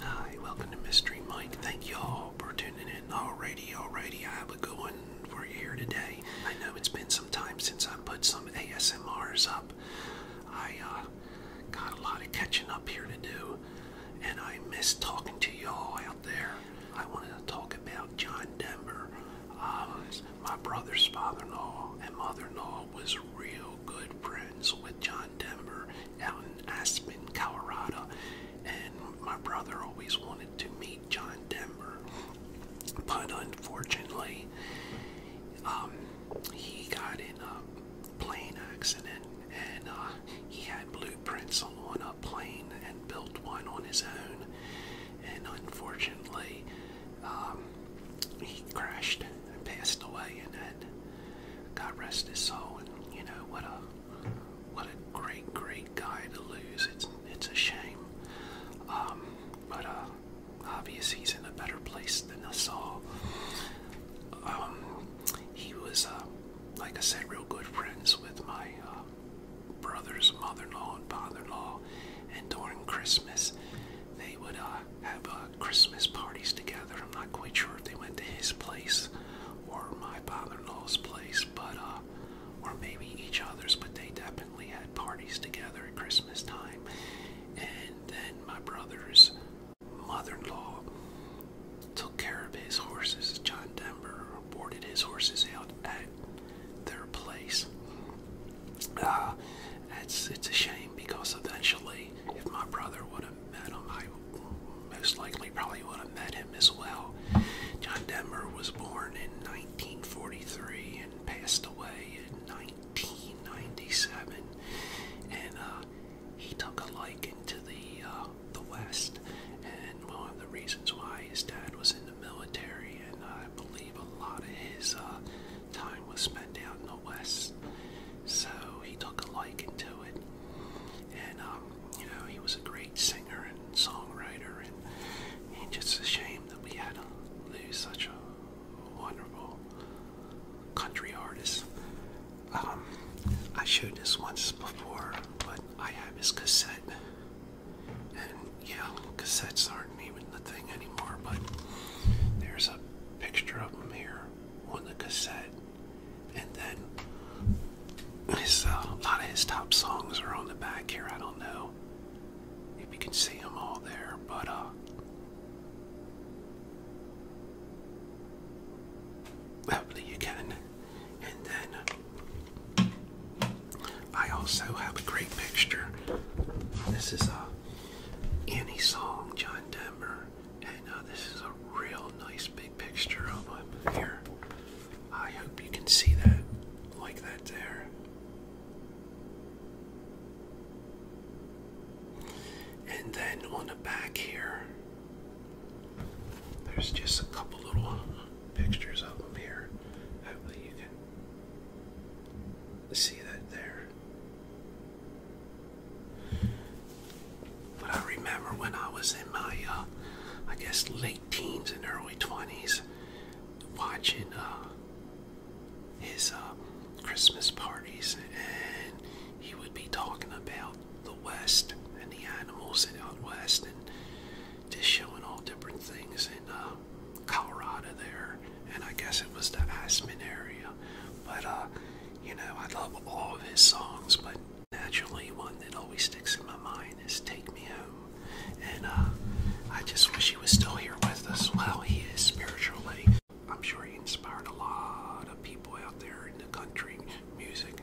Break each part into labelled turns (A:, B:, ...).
A: Hi, welcome to Mystery Mike. Thank y'all for tuning in. Alrighty, alrighty, I have a good one for you here today. I know it's been some time since I put some ASMRs up. I uh, got a lot of catching up here to do, and I miss talking to y'all out there. I wanted to talk about John Denver. Uh, my brother's father-in-law and mother-in-law was real good friends with John Denver out in Aspen, Colorado. And my brother always wanted to meet John Denver, but unfortunately, um, he got in a plane accident and uh, he had blueprints on a plane and built one on his own. And unfortunately, um, he crashed and passed away, and then God rest his soul. And you know what a what a great great guy to lose. It's it's a shame, um, but uh, obvious he's in a better place than us all. Um, he was, uh, like I said, real good friends with my uh, brother's mother-in-law and father-in-law, and during Christmas they would uh, have uh, Christmas parties together. I'm not quite sure if they went to his place or my father-in-law's place, but uh, or maybe each other's. But they definitely had parties together at Christmas time. And then my brother's mother-in-law took care of his horses. John Denver boarded his horses out their place. Uh, it's it's a shame because eventually, if my brother would have met him, I most likely probably would have met him as well. John Denver was born in 1943 and passed away in 1997, and uh, he took a liking to the uh, the West, and one of the reasons why his dad was in military, and I believe a lot of his uh, time was spent out in the West. So he took a liking to it, and um, you know he was a great singer and songwriter, and, and just a shame that we had to lose such a wonderful country artist. Um, I showed this once before, but I have his cassette and yeah, cassettes aren't even the thing anymore, but there's a picture of him here on the cassette. And then his, uh, a lot of his top songs are on the back here. I don't know if you can see them all there, but uh, hopefully you can. And then I also have a great picture. This is a Annie Song, John Denver, and uh, this is a real nice big picture of him here. I hope you can see that, like that there. And then on the back here, there's just a couple little pictures of them here. Hopefully, you can see that there. But I remember when I was in my, uh, I guess, late teens and early 20s, watching uh, his uh, Christmas parties, and he would be talking about about the West and the animals and out west, and just showing all different things in uh, Colorado there, and I guess it was the Aspen area. But uh, you know, I love all of his songs, but naturally, one that always sticks in my mind is "Take Me Home," and uh, I just wish he was still here with us. Well, he is spiritually, I'm sure he inspired a lot of people out there in the country music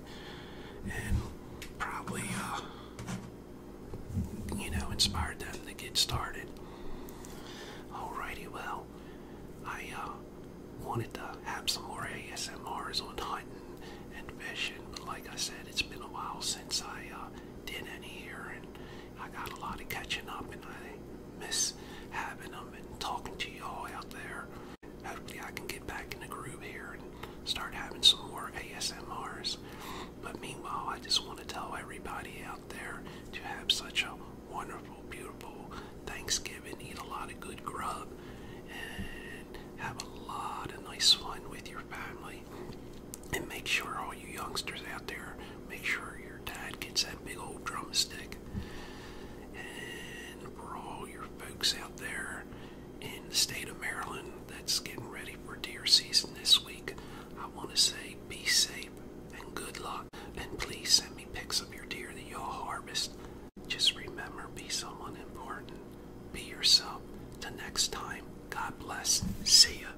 A: and probably, uh, you know, inspired them to get started. All righty, well, I uh, wanted to have some more ASMRs on hunting and fishing, but like I said, it's been a while since I uh, did any here, and I got a lot of catching up, and I miss miss having them and talking to y'all out there. Hopefully, I can get back in the group here and start having some more ASMRs. But meanwhile, I just want to tell everybody out there to have such a wonderful, beautiful Thanksgiving. Eat a lot of good grub and have a lot of nice fun with your family. And make sure all you youngsters out there Make sure your dad gets that big old drumstick. And for all your folks out there in the state of Maryland that's getting ready for deer season this week, I want to say be safe and good luck. And please send me pics of your deer that y'all harvest. Just remember, be someone important. Be yourself. Till next time, God bless. See ya.